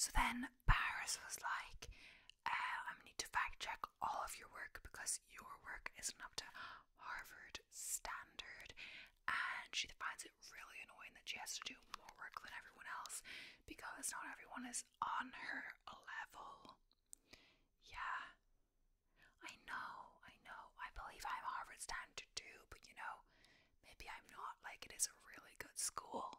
So then Paris was like, uh, i need to fact check all of your work because your work isn't up to Harvard standard. And she finds it really annoying that she has to do more work than everyone else because not everyone is on her level. Yeah, I know, I know. I believe I'm time to do, but you know, maybe I'm not. Like, it is a really good school.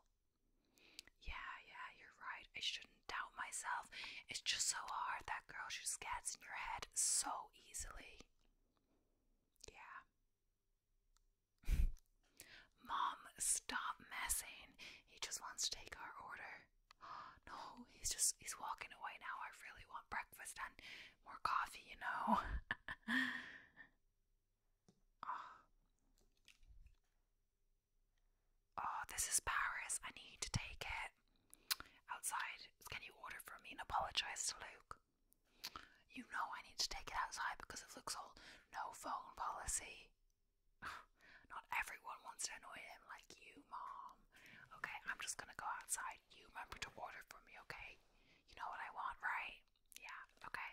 Yeah, yeah, you're right. I shouldn't doubt myself. It's just so hard. That girl, just gets in your head so easily. Yeah. Mom, stop messing. He just wants to take our order. No, he's just he's walking away now. I really want breakfast and more coffee, you know. oh. oh, this is Paris. I need to take it outside. Can you order for me and apologize to Luke? You know I need to take it outside because of Luke's whole no phone policy. Not everyone wants to annoy him like you, Mom. Okay, I'm just gonna go outside. You remember to order for me, okay? You know what I want, right? Yeah, okay.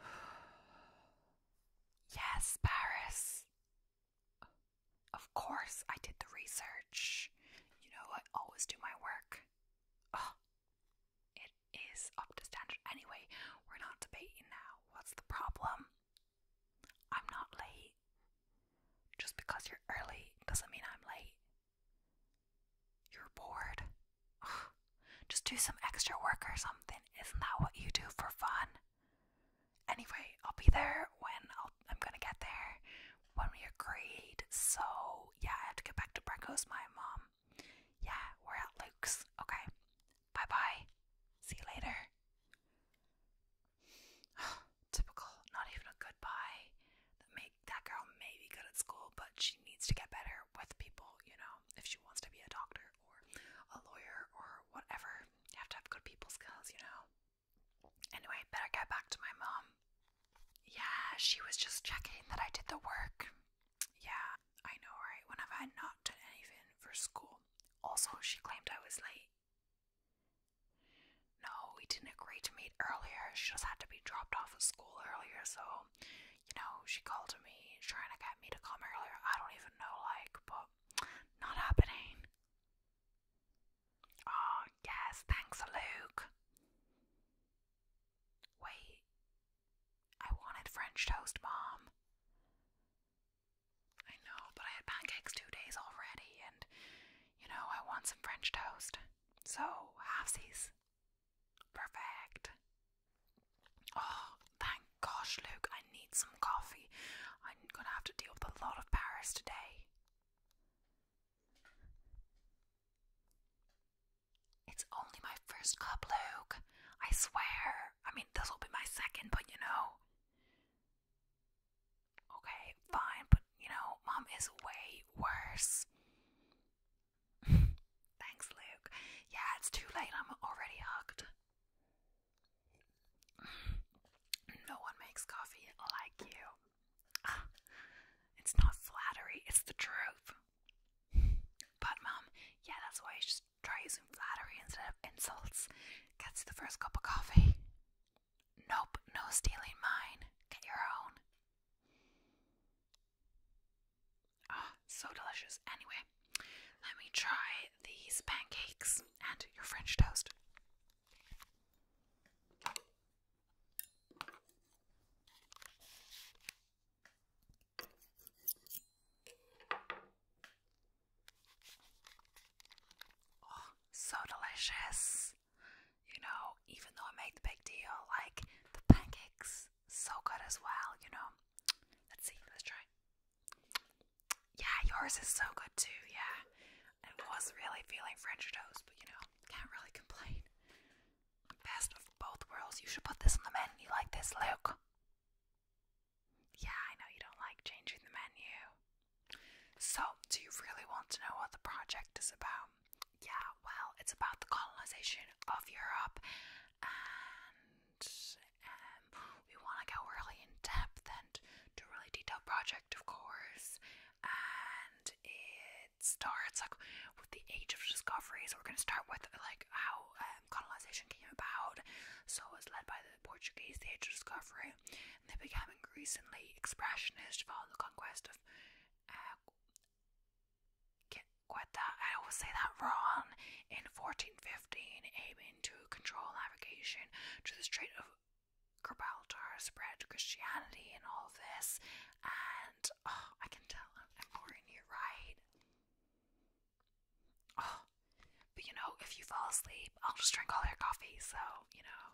Yes, Paris. Of course, I did the research. You know, I always do my work. Oh, it is up to standard anyway. We're not debating now. What's the problem? I'm not late. Just because you're early doesn't mean I'm late. You're bored. Just do some extra work or something. Isn't that what you do for fun? Anyway, I'll be there when i am gonna get there when we agreed. So, yeah, I have to get back to breakfast. My mom yeah, we're at Luke's. Okay. Bye bye. See you later. Typical. Not even a goodbye. That make that girl may good at school, but she needs to get better with people. You know, if she wants to be a doctor or a lawyer or whatever, you have to have good people skills. You know. Anyway, better get back to my mom. Yeah, she was just checking that I did the work. Yeah, I know, right? When have I not done anything for school? Also, she claimed I was late. No, we didn't agree to meet earlier. She just had to be dropped off at school earlier, so, you know, she called me trying to get me to come earlier. I don't even know, like, but not happening. Oh, yes, thanks, Luke. Wait, I wanted French toast, Mom. I know, but I had pancakes two days already, and you know, I want some French toast. So, halfsies. Perfect. Oh, thank gosh, Luke, I need some coffee. I'm gonna have to deal with a lot of Paris today. It's only my first cup, Luke. I swear. I mean, this will be my second, but you know. Okay, fine, but you know, mom is way worse. Thanks, Luke. Yeah, it's too late. I'm already hugged. no one makes coffee like you. It's not flattery, it's the truth. But mum, yeah, that's why I should try using flattery instead of insults. Gets you the first cup of coffee. Nope, no stealing mine. Get your own. Ah, oh, so delicious. Anyway, let me try these pancakes and your French toast. Oh, so delicious. You know, even though I made the big deal, like the pancakes, so good as well, you know. Let's see, let's try. Yeah, yours is so good too, yeah. I was really feeling French toast, but you know, can't really complain. Best of both worlds. You should put this on the menu like this, Luke. Yeah, I know you don't like changing the menu. So, do you really want to know what the project is about? Yeah, well, it's about the colonization of Europe, and um, we want to go really in depth and do a really detailed project, of course. And it it starts like with the age of discovery. So we're going to start with like how um, colonization came about. So it was led by the Portuguese, the age of discovery, they became increasingly expressionist following the conquest of. Uh, I always say that wrong, in 1415, aiming to control navigation to the Strait of Gibraltar, spread Christianity and all this. And oh, I can tell I'm boring you, right? Oh, but you know, if you fall asleep, I'll just drink all your coffee, so, you know.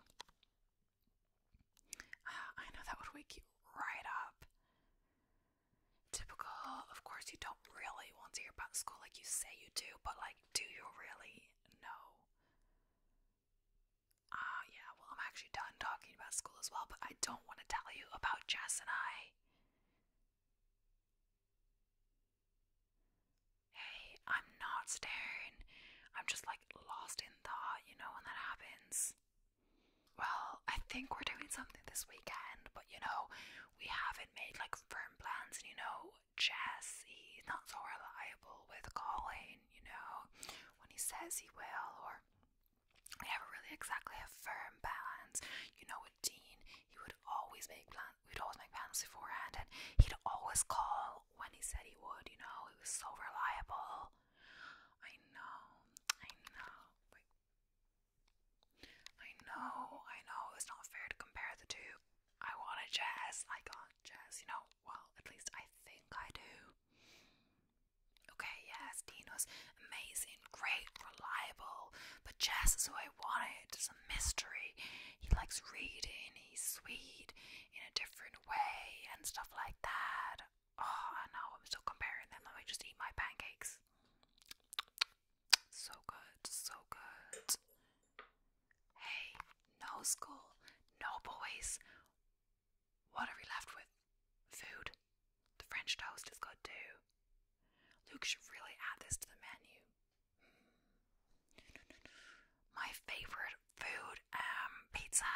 Ah, I know that would wake you right up. Typical, of course, you don't really want to hear about school like you say you do, but like, do you really know? Ah, yeah, well, I'm actually done talking about school as well, but I don't want to tell you about Jess and I. Hey, I'm not staring. I'm just like lost in thought, you know, when that happens. Well, I think we're doing something this weekend, but you know, we haven't made like firm plans, and you know, Jess, he's not so reliable with calling, you know, when he says he will, or we never really exactly have firm plans. You know, with Dean, he would always make plans. We'd always make plans beforehand, and he'd always call when he said he would. You know, he was so reliable. I know, I know. Wait. I know, I know. It's not fair to compare the two. I want a jazz. I got jazz. You know, well, at least I think I do. Okay, yes, Dino's amazing, great, reliable, but Jess is who I wanted. It's a mystery. He likes reading, he's sweet in a different way, and stuff like that. Oh, I know, I'm still comparing them. Let me just eat my pancakes. So good, so good. Hey, no school, no boys. What are we left with? Food? The French toast is good too. Luke should really add this to the menu. My favorite food, um, pizza,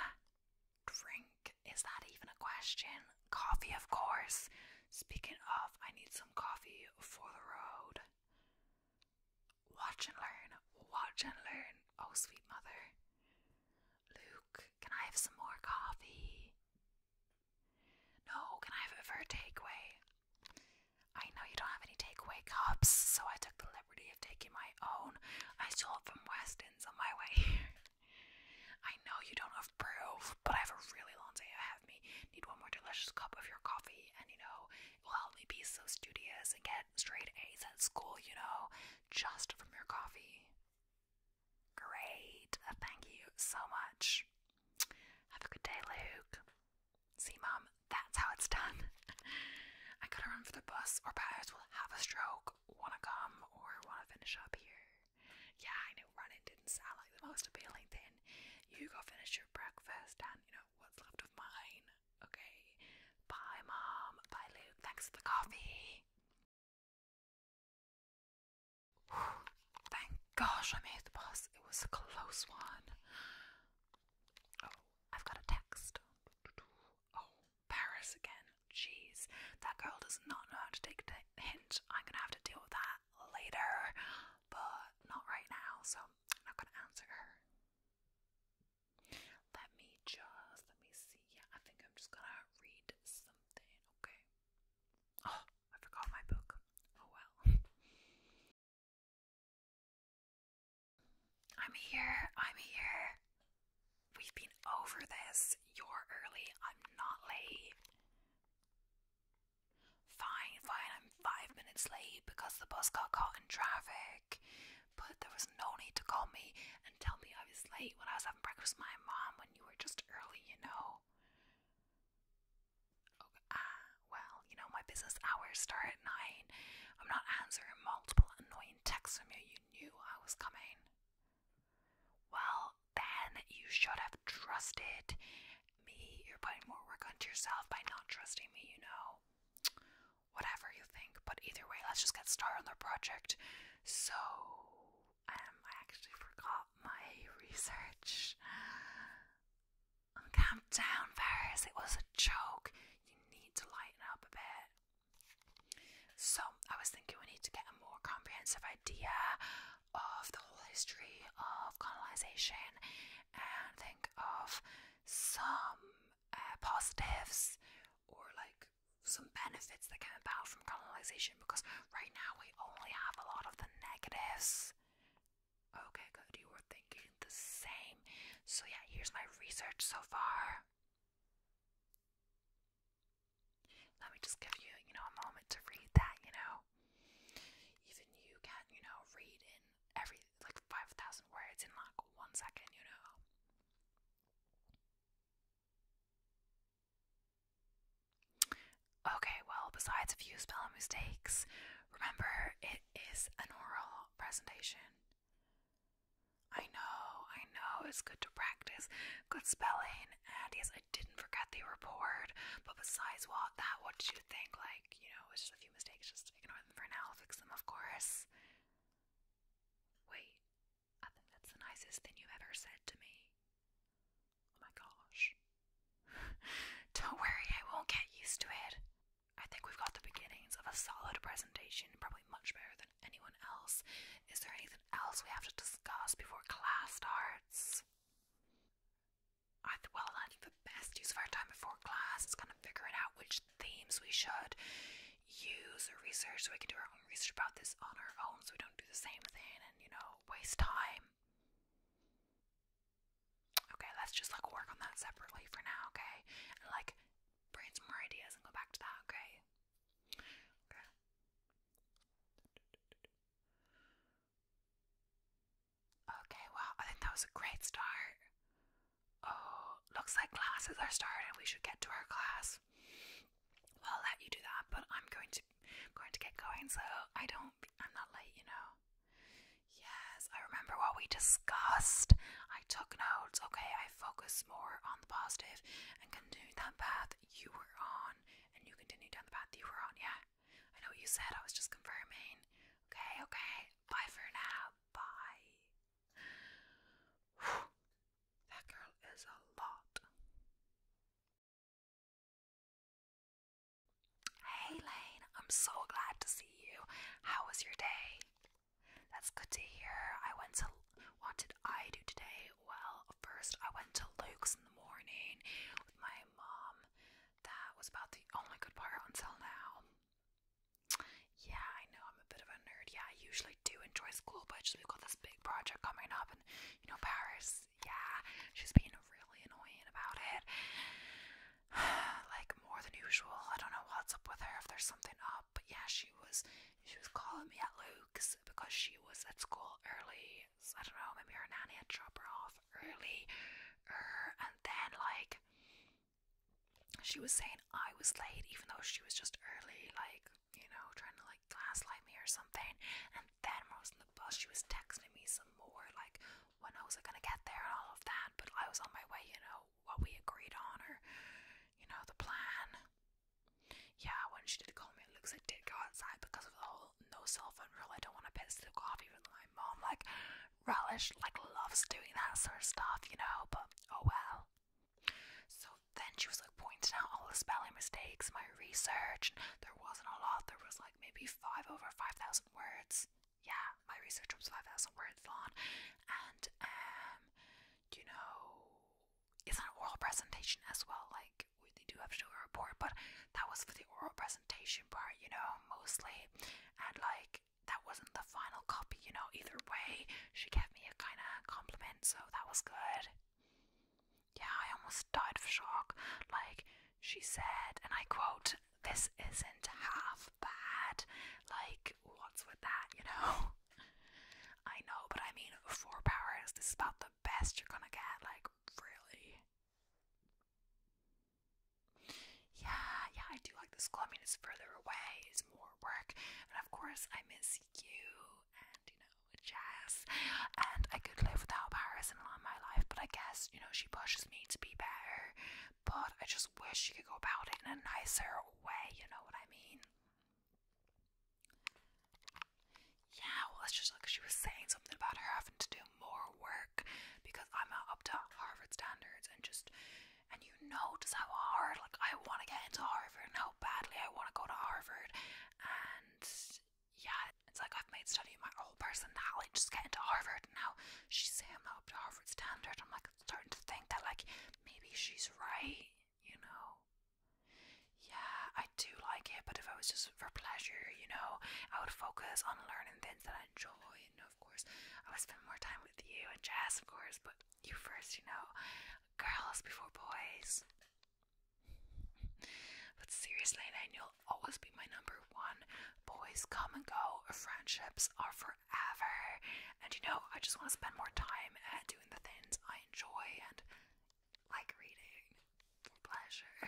drink. Is that even a question? Coffee, of course. Speaking of, I need some coffee for the road. Watch and learn. Watch and learn. Oh, sweet mother. Luke, can I have some more coffee? No, can I have it for takeaway? I know you don't have any takeaway cups, so I took the liberty of taking my own. I stole it from Weston's on my way I know you don't approve, but I have a really long day ahead of me. Need one more delicious cup of your coffee, and you know, it will help me be so studious and get straight A's at school, you know, just from your coffee. Great. thank you so much. Have a good day, Luke. See, Mum, that's how it's done. I gotta run for the bus, or Paris will have a stroke, wanna come, or wanna finish up here. Yeah, I know running didn't sound like the most appealing thing. You go finish your breakfast and, you know, what's left of mine. Okay. Bye, Mom. Bye, Luke. Thanks for the coffee. Thank gosh I made the bus. It was a close one. Oh, I've got a text. Oh, Paris again. Jeez, that girl does not know how to take a hint. I'm gonna have to deal with that later, but not right now, so I'm not gonna answer her. Let me just, let me see. Yeah, I think I'm just gonna read something okay? Oh, I forgot my book. Oh well. I'm here. I'm here. We've been over this. You're early. I'm not late. Fine, fine. I'm five minutes late because the bus got caught in traffic. But there was no need to call me and tell me I was late when I was having breakfast with my mom you were just early, you know. Ah, well, you know, my business hours start at 9. I'm not answering multiple annoying texts from you. You knew I was coming. Well, then you should have trusted me. You're putting more work onto yourself by not trusting me, you know. Whatever you think, but either way, let's just get started on the project. So, um, I actually forgot my research on Camp Down It was a joke. You need to lighten up a bit. So I was thinking we need to get a more comprehensive idea of the whole history of colonization and think of some uh, positives or like some benefits that came about from colonization because right now we only have a lot of the negatives. Okay, good. You were thinking the same. So, yeah, here's my research so far. Let me just give you, you know, a moment to read that, you know. Even you can, you know, read in every, like, 5,000 words in like one second, you know. Okay, well, besides a few spelling mistakes, remember it is an oral presentation. I know, I know, it's good to practice good spelling, and yes, I didn't forget the report, but besides what that, what did you think? Like, you know, it's just a few mistakes, just ignore them for now, I'll fix them, of course. Wait, I think that's the nicest thing you've ever said to me. Oh my gosh. Don't worry, I won't get used to it. I think we've got the beginnings of a solid presentation, probably much better than anyone else. Is there anything else we have to discuss before class starts? I th well, I think the best use of our time before class is kind of figuring out which themes we should use our research we can do our own research about this on our own so we don't do the same thing and, you know, waste time. Okay, let's just like work on that separately for now, okay? And like brainstorm more ideas and go back to that, Okay. Okay, well, I think that was a great start. Oh, looks like classes are starting. We should get to our class. I'll let you do that, but I'm going to going to get going, so I don't. I'm not late, you know. Yes, I remember what we discussed. I took notes. Okay, I focused more on the positive and continued that path you were on, and you continued down the path you were on. Yeah, I know what you said. I was just confirming. Okay, okay. Bye for now. Bye. That girl is a lot. Hey Lane, I'm so glad to see you. How was your day? That's good to hear. I went to what did I do today? Well, first I went to Luke's in the morning with my mom. That was about the only good part until now. Yeah, I know I'm a bit of a nerd. Yeah, I usually do enjoy school, but just we got this big project coming up, and you know, Paris, yeah, she's being really annoying about it. like more than usual. I don't know what's up with her, if there's something up, but yeah, she was she was calling me at Luke's because she was at school early. So I don't know, maybe her nanny had to drop her off early. Er, and then like she was saying I was late even though she was just early, like you know, trying to like gaslight me or something. And then when I was in the bus, she was texting me some more, like when I was like, gonna get there and all of that. But I was on my way, you know, what we agreed on or, you know, the plan. Yeah, when she did call me, it looks like I did go outside because of the whole no cell phone rule. I don't want to piss Luke off, even though my mom like relish like loves doing that sort of stuff, you know. But oh well. So then she was like pointing out all the spelling mistakes, in my research. There wasn't a lot. There was like maybe five over five thousand words. Yeah, my research was five thousand words long, and um, you know, it's an oral presentation as well. Like we do have to do a report, but that was for the oral presentation part, you know, mostly, and like that wasn't the final copy, you know. Either way, she gave me a kind of compliment, so that was good. Yeah, I almost died of shock. Like, she said, and I quote, this isn't half bad. Like, what's with that, you know? I know, but I mean, four powers, this is about the best you're gonna get. Like, really? Yeah, yeah, I do like this school. I mean, it's further away, it's more work, and of course, I miss you and you know, jazz. And I could live without Paris in my life, but I guess, you know, she pushes me to be better. But I just wish she could go about it in a nicer way, you know what I mean? Yeah, well, it's just like she was saying something about her having to do more work because I'm not up to Harvard standards and just, and you know, just how hard, like, I want to get into Harvard and how badly I want to go to Harvard. And and yeah, it's like I've made study my whole personality just get into Harvard. And now she's saying I'm not up to Harvard standard. I'm like starting to think that like maybe she's right, you know. Yeah, I do like it, but if I was just for pleasure, you know, I would focus on learning things that I enjoy. You know, of course, I would spend more time with you and Jess, of course, but you first, you know, girls before boys. But seriously, then you'll always be my number one. Boys come and go, friendships are forever. And you know, I just want to spend more time at uh, doing the things I enjoy and like reading for pleasure.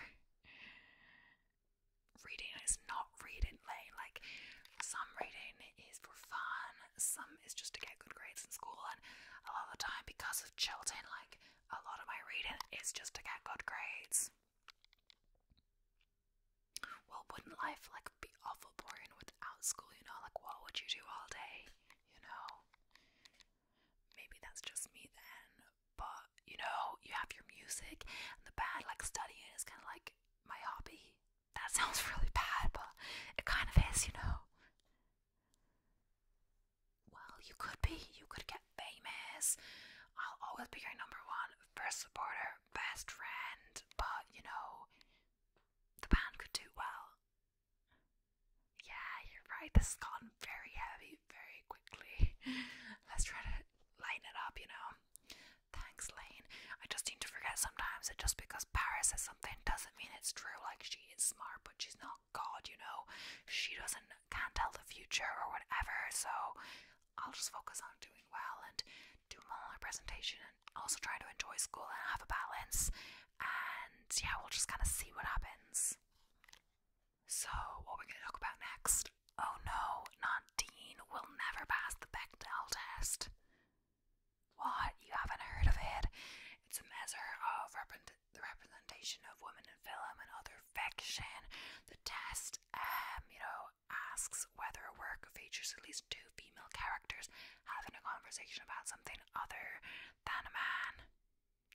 Reading is not reading, Lane. Like, some reading is for fun, some um, is just to get good grades in school, and a lot of the time, because of Chilton, like a lot of my reading is just to get good grades. Well, wouldn't life like be awful boring without school? You know, like what would you do all day? You know, maybe that's just me then. But you know, you have your music and the band. Like studying is kind of like my hobby. That sounds really bad, but it kind of is, you know. Well, you could be. You could get famous. I'll always be your number one first supporter, best friend. But you know, the band could do well. Yeah, you're right. This has gone very heavy very quickly. Let's try to lighten it up, you know. Thanks, Lane. I just seem to forget sometimes that just because Paris says something doesn't mean it's true. Like, she is smart, but she's not god, you know, she doesn't can't tell the future or whatever, so I'll just focus on doing well and do my presentation and also trying to enjoy school and have a balance and yeah, we'll just kinda see what happens. So what we're gonna talk about next. Oh no, not Nadine will never pass the Bechdel test. What? You haven't heard of it? It's a measure of repre the representation of women in film and other fiction. The test, um, you know, asks whether a work features at least two female characters having a conversation about something other than a man.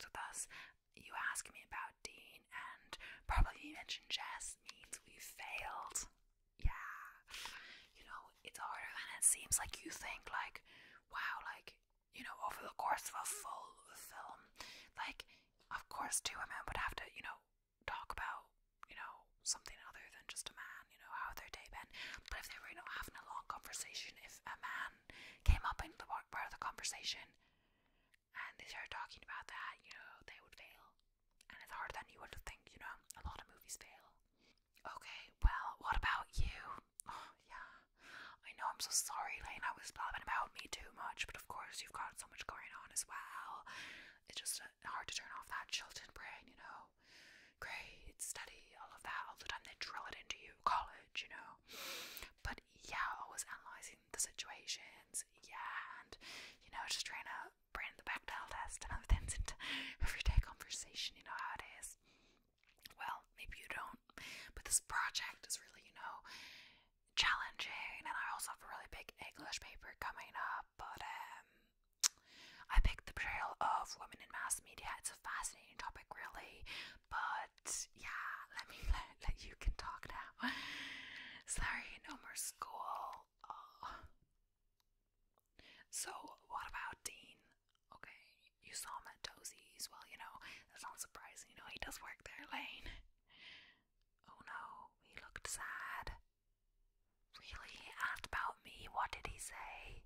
So thus, you asking me about Dean and probably you mentioned Jess means we failed. Yeah. You know, it's harder than it seems. Like you think like, wow, like you know, over the course of a full film, like, of course, two men would have to, you know, talk about, you know, something other than just a man, you know, how their day been. But if they were you not know, having a long conversation, if a man came up into the part of the conversation and they start talking about that, you know, they would fail. And it's harder than you would think, you know, a lot of movies fail. Okay, well, what about you? oh, yeah. I know, I'm so sorry, Lane. I was blabbing about me too much, but of course, you've got so much going on as well. It's just uh, hard to turn off that Chilton brain, you know. Grade, study, all of that, all the time they drill it into you, college, you know. But yeah, always analysing the situations, yeah, and you know, just trying to bring the Bechdel test and other things into everyday conversation, you know how it is well, maybe you don't, but this project is really, you know, challenging. And I also have a really big English paper coming up, but um, I picked the portrayal of women in mass media. It's a fascinating topic, really, but yeah, let me let, you can talk now. Sorry, no more school. Oh. So, what about Dean? Okay, you saw him at Dozy's. Well, you know, that's not surprising. You know, he does work there, Lane. Oh no, he looked sad. Really? He asked about me. What did he say?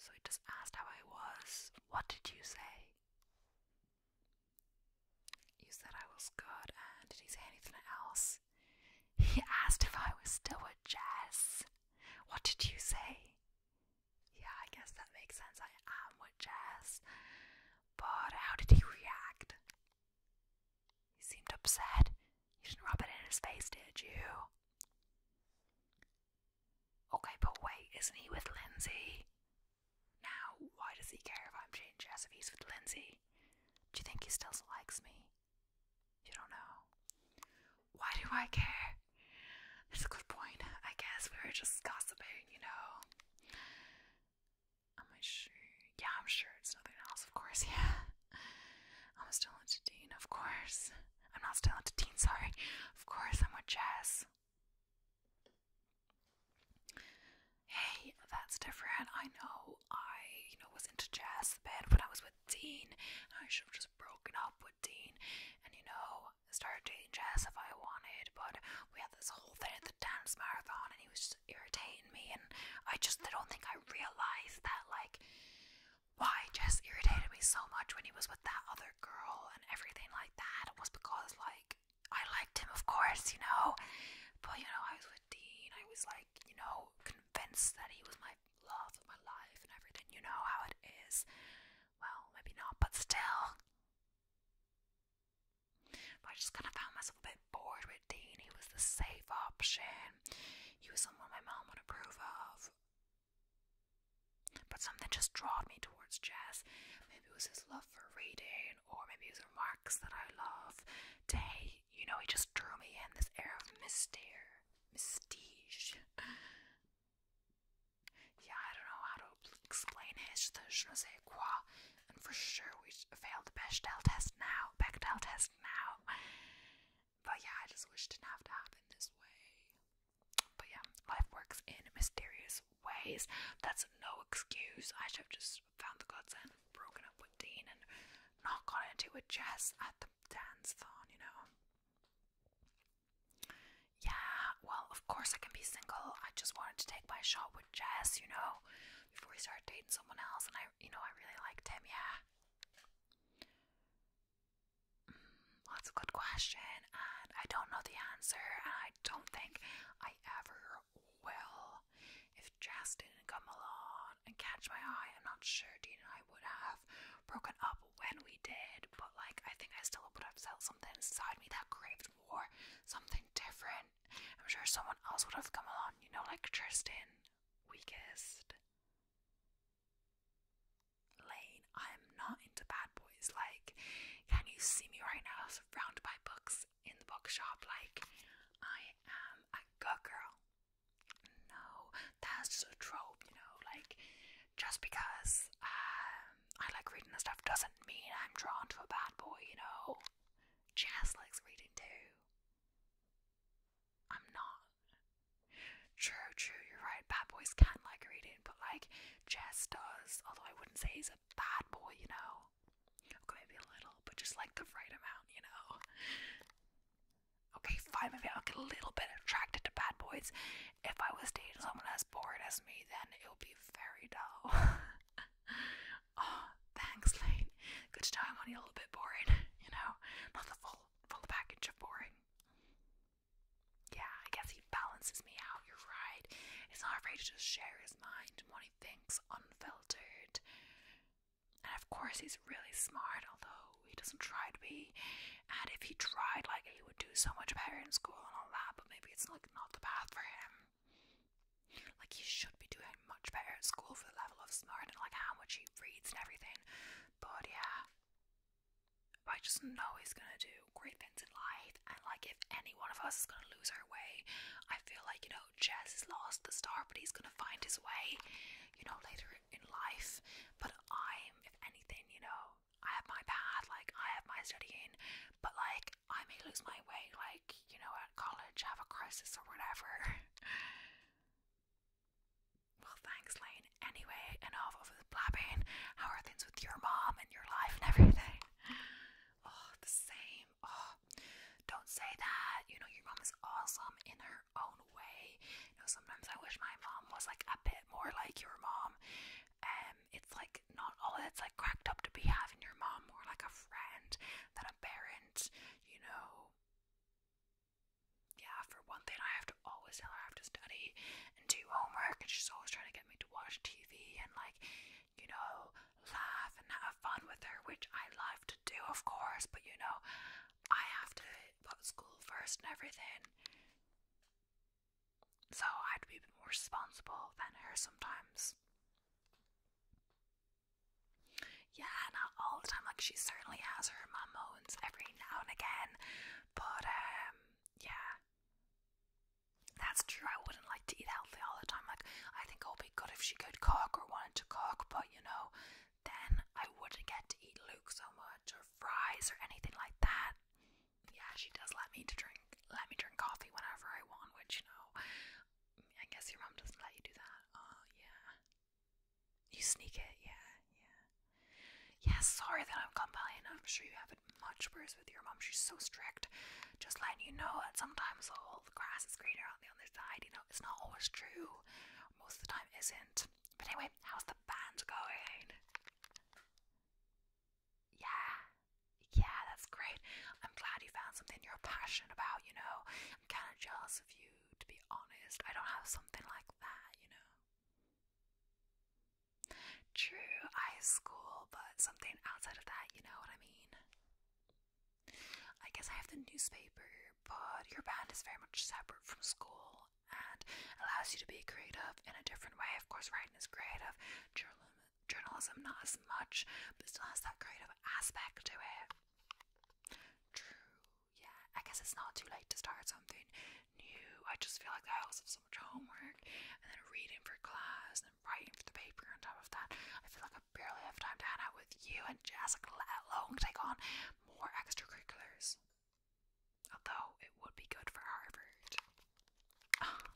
So he just asked how I was. What did you say? You said I was good, and did he say anything else? He asked if I was still with Jess. What did you say? Yeah, I guess that makes sense. I am with Jess. But how did he react? He seemed upset. You didn't rub it in his face, did you? Okay, but wait, isn't he with Lindsay? Now, why does he care if I'm dating Jess if he's with Lindsay? Do you think he still likes me? You don't know. Why do I care? That's a good point. I guess we were just gossiping, you know. Am I sure? Yeah, I'm sure it's nothing else, of course, yeah. I'm still into Dean, of course. I'm not still into Dean, sorry. Of course, I'm with Jess. Hey, that's different. I know I, you know, was into Jess a when I was with Dean. I should have just broken up with Dean and, you know, started dating Jess if I wanted. But we had this whole thing at the dance marathon and he was just irritating me. And I just I don't think I realized that, like, why Jess irritated me so much when he was with that other girl and everything like that was because, like, I liked him, of course, you know. But, you know, I was with Dean. I was, like, you know, convinced that he was my love of my life and everything. You know how it is. Well, maybe not, but still. I just kind of found myself a bit bored with Dean. He was the safe option. He was someone my mom would approve of. But something just drew me towards Jess. Maybe it was his love for reading, or maybe his remarks that I love. Day, you know, he just drew me in this air of mystery, mystige. Yeah, I don't know how to explain his, je ne sais quoi. And for sure we failed the Bechdel test now, Bechdel test now. But yeah, I just wish didn't have to happen this way. But yeah, life works in mysterious ways. That's no excuse. I should have just found the godsend, broken up with Dean, and not gone into a jazz at the dance thon, you know. Yeah, well, of course I can be single. I just wanted to take my shot with Jess, you know, before he started dating someone else, and I, you know, I really liked him, yeah. that's mm, a good question, and I don't know the answer, and I don't think I ever will. If Jess didn't come along and catch my eye, I'm not sure Dean and I would have broken up when we did, but like I think I still would have felt something inside me that craved more, something different. I'm sure someone else would have come along, you know, like Tristan, weakest. Lane, I'm not into bad boys. Like, can you see me right now surrounded by books in the bookshop? Like, I am a good girl. No, that's just a trope, you know, like just because um, I like reading and stuff doesn't mean I'm drawn to a bad boy, you know. Jazz likes reading too. I'm not. True, true, you're right. Bad boys can like reading, but like Jess does, although I wouldn't say he's a bad boy, you know. Okay, maybe a little, but just like the right amount, you know. Okay, fine, maybe I'll get a little bit attracted to bad boys. If I was dating someone as bored as me, then it would be very dull. oh, thanks, Lane. Good to know I'm only a little bit boring, you know? Not the full full package of boring. Yeah, I guess he balances me out, you're right. He's not afraid to just share his mind what he thinks unfiltered. And of course he's really smart, although he doesn't try to be. And if he tried, like he would do so much better in school and all that, but maybe it's like not the path for him. Like he should be doing much better at school for the level of smart and like how much he reads and everything. But yeah. I just know he's gonna do great things in life and like if any one of us is gonna lose our way, I feel like, you know, Jess has lost the star but he's gonna find his way, you know, later in life, but I'm, if anything, you know, I have my path, like, I have my studying, but like, I may lose my way, like, you know, at college, have a crisis or whatever. well, thanks, Lane. Anyway, enough of the blabbing. How are things with your mom and your life and everything? Oh, the same. Oh, don't say that. You know, your mom is awesome in her own way. You know, sometimes I wish my mom was like a bit more like your mom. Um, it's like not all that's like cracked up to be having your mom more like a friend than a parent, you know. Yeah, for one thing, I have to always tell her I have to study and do homework, and she's always trying to get me to watch TV and, like, you know, laugh and have fun with her, which I love to do, of course, but you know, I have to put school first and everything. So I'd be more responsible than her sometimes. Yeah, not all the time. Like she certainly has her mom every now and again, but um, yeah, that's true. I wouldn't like to eat healthy all the time. Like I think it would be good if she could cook or wanted to cook, but you know, then I wouldn't get to eat Luke so much or fries or anything like that. Yeah, she does let me to drink let me drink coffee whenever I want, which you know I guess your mom doesn't let you do that. Oh yeah. You sneak it, yeah, yeah. Yeah, sorry that I'm complaining. I'm sure you have not much worse with your mom. She's so strict. Just letting you know that sometimes all the grass is greener on the other side, you know, it's not always true. Most of the time isn't. But anyway, how's the band going? Yeah. Yeah, that's great. I'm glad you found something you're passionate about, you know. I'm kind of jealous of you, to be honest. I don't have something like that, you know. True, I have school, but something outside of that, you know what I mean? I guess I have the newspaper, but your band is very much separate from school and allows you to be creative in a different way. Of course, writing is creative, journalism journalism, not as much, but still has that creative aspect to it. True, yeah. I guess it's not too late to start something new. I just feel like I always have so much homework, and then reading for class, and writing for the paper on top of that. I feel like I barely have time to hang out with you and Jessica, let alone take on more extracurriculars. Although it would be good for Harvard.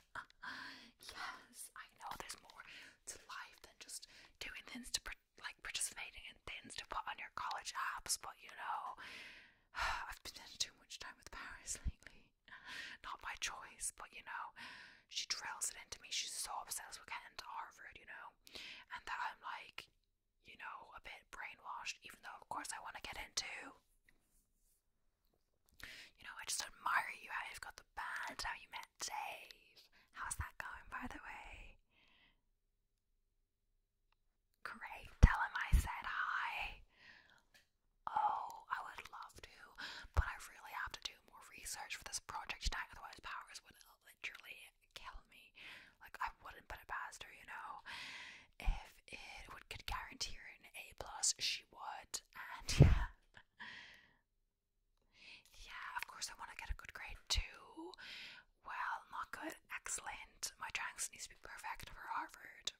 yes, I know there's more to life than just doing things to like participating in things to put on your college apps, but you know, I've spent too much time with Paris lately. Not by choice, but you know, she drills it into me. She's so obsessed with getting to Harvard, you know, and that I'm like, you know, a bit brainwashed, even though, of course, I want to get into. You know, I just admire you how you've got the band, how you met Dave. How's that going, by the way? Great, tell him I said hi. Oh, I would love to, but I really have to do more research for this project tonight, otherwise, Powers would literally kill me. Like, I wouldn't put it past her, you know? if it would could guarantee her an A plus, she would. And yeah, yeah. Of course, I want to get a good grade too. Well, not good, excellent. My Tranks needs to be perfect for Harvard.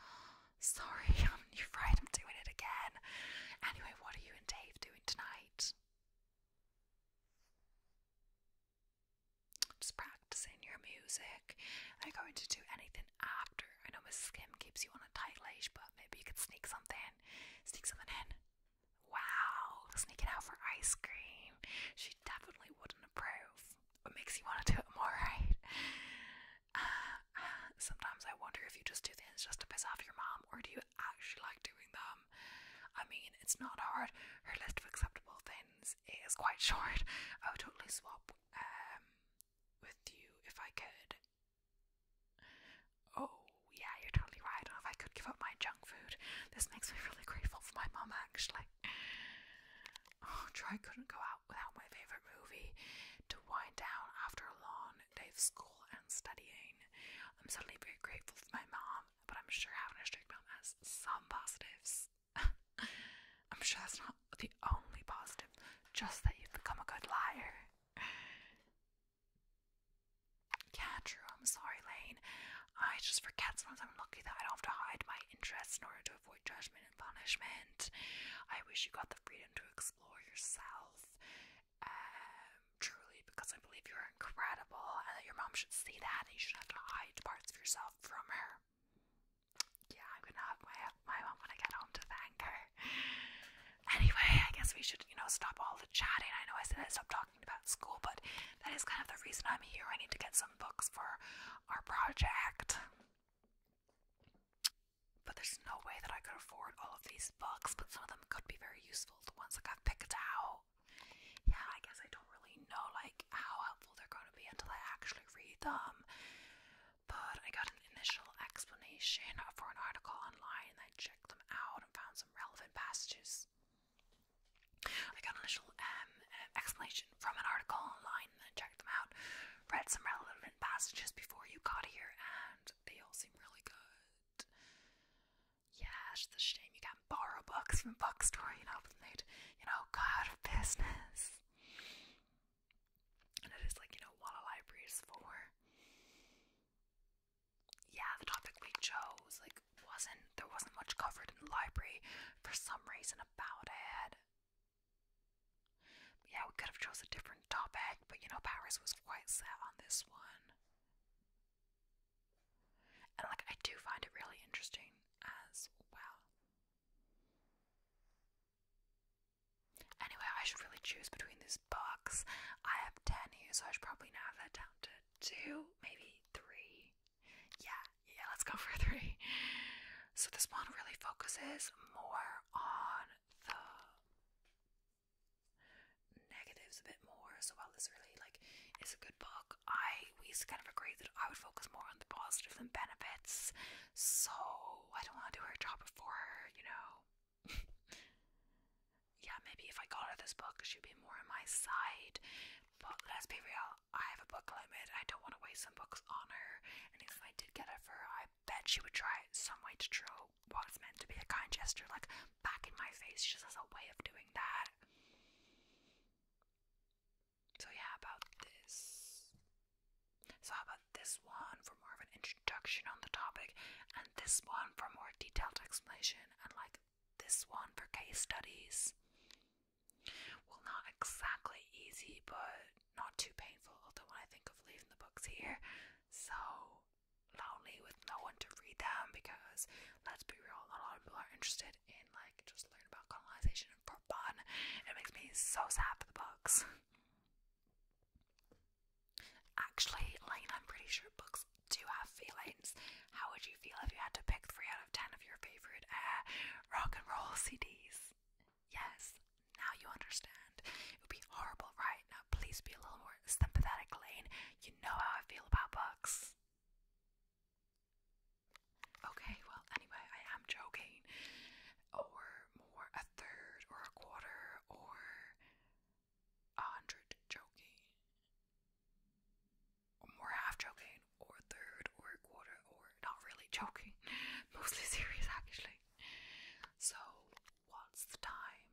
Sorry, I'm you I'm doing it again. Anyway, what are you and Dave doing tonight? Just practicing your music. Are you going to do anything after? I know Mrs. Kim keeps you on a tight leash, but maybe you could sneak something. in. Sneak something in. Wow, sneaking out for ice cream. She definitely wouldn't approve. What makes you want to do it more, right? sometimes I wonder if you just do things just to piss off your mom, or do you actually like doing them? I mean, it's not hard. Her list of acceptable things it is quite short. I would totally swap um with you if I could. Oh yeah, you're totally right. And if I could give up my junk food, this makes me really grateful for my mom actually. Oh, Troy couldn't go out without my favourite movie to wind down after a long day of school and studying. I'm suddenly very grateful for my mom, but I'm sure having a strict mom has some positives. I'm sure that's not the only positive, just that you've become a good liar. Yeah, true. I'm sorry, Lane. I just forget sometimes I'm lucky that I don't have to hide my interests in order to avoid judgment and punishment. I wish you got the freedom to explore yourself. Um, truly, because I believe you're incredible and that your mom should see that and you shouldn't have to hide parts of yourself from her yeah, I'm gonna have my my mom when I get home to thank her. Anyway, I guess we should, you know, stop all the chatting. I know I said I stopped talking about school, but that is kind of the reason I'm here. I need to get some books for our project. But there's no way that I could afford all of these books, but some of them could be very useful, the ones that got picked out. Yeah, I guess I don't really know like how helpful they're going to be until I actually read them. But I got an initial explanation for an article online and I checked them out and found some relevant passages. I got an initial um, explanation from an article online and then checked them out, read some relevant passages before you got here, and they all seem really good. Yeah, it's a shame you borrow books from bookstore, you know, and they'd, you know, go out of business. And it is like, you know, what a library is for. Yeah, the topic we chose, like, wasn't there wasn't much covered in the library for some reason about it. But yeah, we could have chose a different topic, but you know, Paris was quite set on this one. And like I do find it really interesting as well. Anyway, I should really choose between these books. I have 10 here, so I should probably now have that down to 2, maybe 3. Yeah, yeah, let's go for 3. So this one really focuses more on the negatives a bit more. So while this really like is a good book, I we kind of agreed that I would focus more on the positive than benefits, so I don't want to do her job before her, you know. yeah, maybe if I got her this book, she'd be more on my side. But let's be real, I have a book limit. I don't want to waste some books on her. And if I did get it for her, I bet she would try some way to throw what's meant to be a kind gesture, like back in my face. She just has a way of doing that. So yeah, about this. So how about this one for more of an introduction on the topic, and this one for more detailed explanation, and like this one for case studies. Well, not exactly easy, but not too painful. Although when I think of leaving the books here, so lonely with no one to read them because let's be real, a lot of people are interested in like just learn about colonization for fun. It makes me so sad for the books. Actually, Lane, I'm pretty sure books do have feelings. How would you feel if you had to pick three out of ten of your favorite uh, rock and roll CDs? Yes, now you understand. It would be horrible, right? Now, please be a little more sympathetic, Lane. You know how I feel about books. Okay, well, anyway, I am joking. Or more, a third, or a quarter, or a hundred joking. Or more half joking, or a third, or a quarter, or not really joking. Mostly serious, actually. So, what's the time?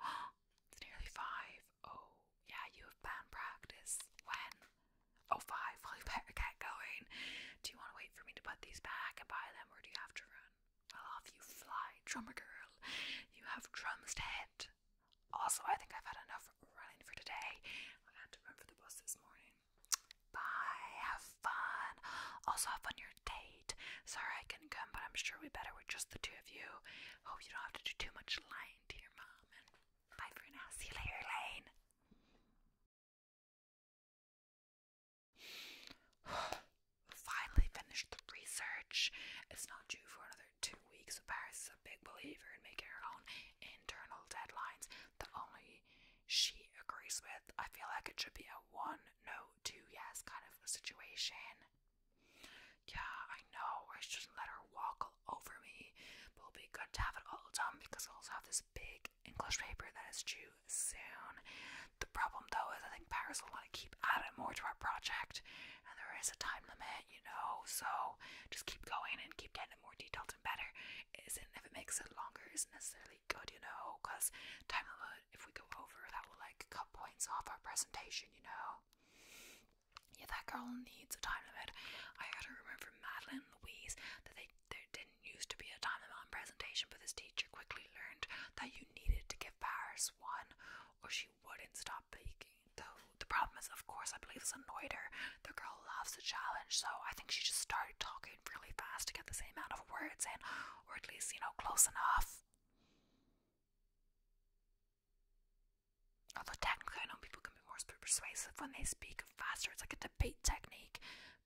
it's nearly five. Oh, yeah, you have band practice. When? Oh, five. Well, you better get going. Do you want to wait for me to put these back and buy them, or do you have to run? Well, off you fly, drummer girl. You have drums to hit. Also, I think I've had enough running for today. I had to run for the bus this morning. Bye. Have fun. Also, have fun your date. Sorry I couldn't come, but I'm sure we better with just the two of you. Hope you don't have to do too much lying to your mom. And bye for now. See you later, Lane. Finally finished the research. It's not due for another two weeks, Paris is a big believer in making her own internal deadlines that only she agrees with. I feel like it should be a one, no, two, yes kind of situation. Yeah, I know. I shouldn't let her walk over me, but it'll be good to have it all done because I also have this big English paper that is due soon. The problem though is I think Paris will want to keep adding more to our project, and there is a time limit, you know, so just keep going and keep getting it more detailed and better. Isn't if it makes it longer isn't necessarily good, you know, because time limit if we go over that will like cut points off our presentation, you know yeah, that girl needs a time limit. I had to remember from Madeline Louise that they there didn't used to be a time limit on presentation, but this teacher quickly learned that you needed to give Paris one or she wouldn't stop baking. Though the problem is, of course, I believe this annoyed her. The girl loves a challenge, so I think she just started talking really fast to get the same amount of words in, or at least, you know, close enough. Although technically, I know people can be more persuasive when they speak faster. It's like a debate technique,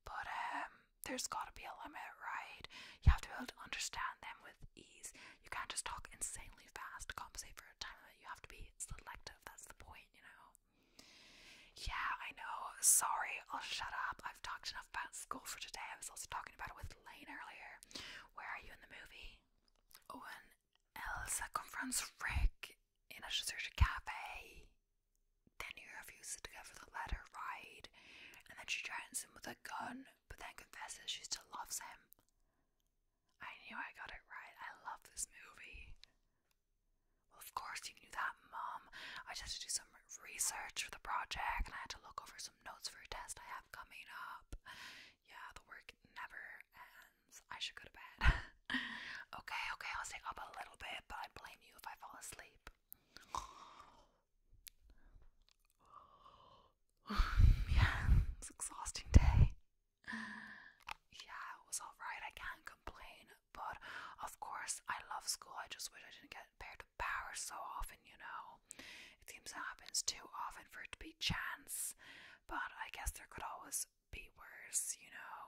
but um, there's got to be a limit, right? You have to be able to understand them with ease. You can't just talk insanely fast to compensate for a time limit. You have to be selective. That's the point, you know. Yeah, I know. Sorry, I'll oh, shut up. I've talked enough about school for today. I was also talking about it with Lane earlier. Where are you in the movie? Owen Elsa confronts Rick in a deserted cafe. Then he refuses to go for the letter ride, and then she threatens him with a gun, but then confesses she still loves him. I knew I got it right. I love this movie. Well, of course you knew that, Mom. I just had to do some research for the project, and I had to look over some notes for a test I have coming up. Yeah, the work never ends. I should go to bed. okay, okay, I'll stay up a little bit, but I blame you if I fall asleep. yeah, it's exhausting day. Yeah, it was alright. I can't complain, but of course, I love school. I just wish I didn't get paired with power so often, you know. It seems it happens too often for it to be chance, but I guess there could always be worse, you know.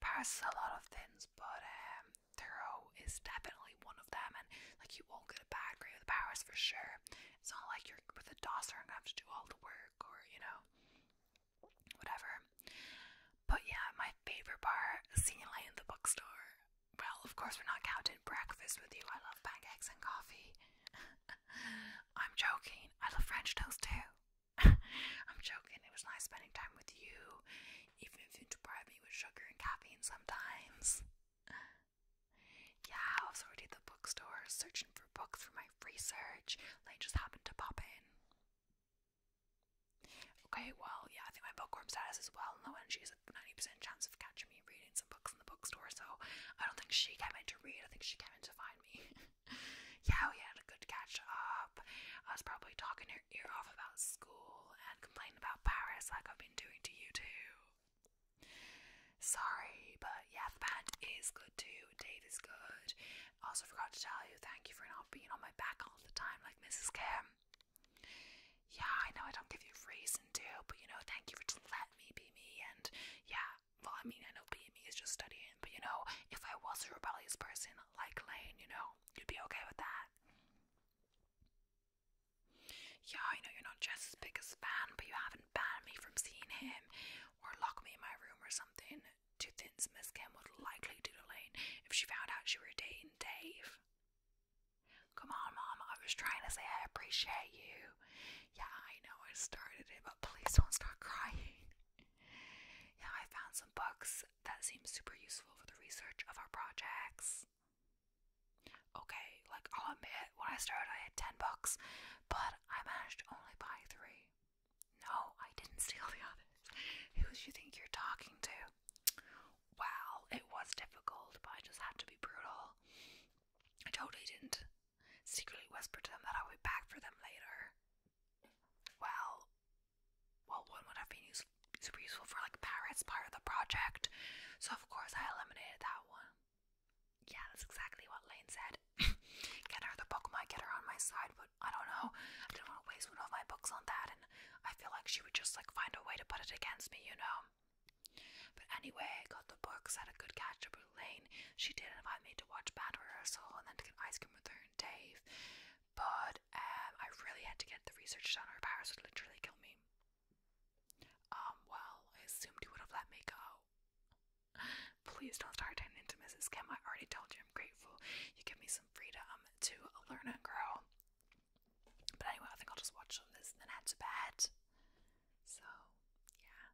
Paris is a lot of things, but um, Thorough is definitely one of them, and like you won't get a bad grade with Paris for sure. It's not like you're with a DOS and have to do all the work or you know, whatever. But yeah, my favorite bar, seeing light in the bookstore. Well, of course, we're not counting breakfast with you. I love pancakes and coffee. I'm joking. I love French toast too. I'm joking. It was nice spending time with you, even if you deprive me with sugar and caffeine sometimes. yeah, I was already at the bookstore searching for books for my research. They just happened to pop in. Okay, well, yeah, I think my bookworm status is well known. She has a 90% chance of catching me reading some books in the bookstore, so I don't think she came in to read. I think she came in to find me. yeah, we had a good catch up. I was probably talking your ear off about school and complaining about Paris like I've been doing to you too. Sorry, but yeah, the band is good too. Dave is good. Also, forgot to tell you, thank you for not being on my back all the time like Mrs. Kim. Yeah, I know I don't give you reason to, but you know, thank you for just letting me be me. And yeah, well, I mean, I know B and me is just studying, but you know, if I was a rebellious person like Lane, you know, you'd be okay with that. Yeah, I know you're not just as big as fan, but you haven't banned me from seeing him or lock me in my room or something. Two things Miss Kim would likely do to Lane if she found out she were dating Dave. Come on, Mom, I was trying to say I appreciate you. Yeah, I know I started it, but please don't start crying. Yeah, I found some books that seem super useful for the research of our projects. Okay, like I'll admit, when I started, I had 10 books, but I managed to only buy three. No, I didn't steal the others. Who do you think you're talking to? Well, it was difficult, but I just had to be brutal. I totally didn't. Secretly whispered to that I would be back for them later well, well, one would have been use super useful for like parrots part of the project, so of course I eliminated that one. Yeah, that's exactly what Lane said. get her the Pokemon, get her on my side, but I don't know. I didn't want to waste one of my books on that, and I feel like she would just like find a way to put it against me, you know. But anyway, I got the books at a good catch up with Lane. She did invite me to watch band rehearsal and then to get ice cream with her and Dave, but um, I really had to get the research done or Paris would literally kill me. Um, well, I assumed he would have let me go. Please don't start turning into Mrs. Kim. I already told you I'm grateful. You give me some freedom to learn and grow. But anyway, I think I'll just watch on this and then head to bed. So, yeah.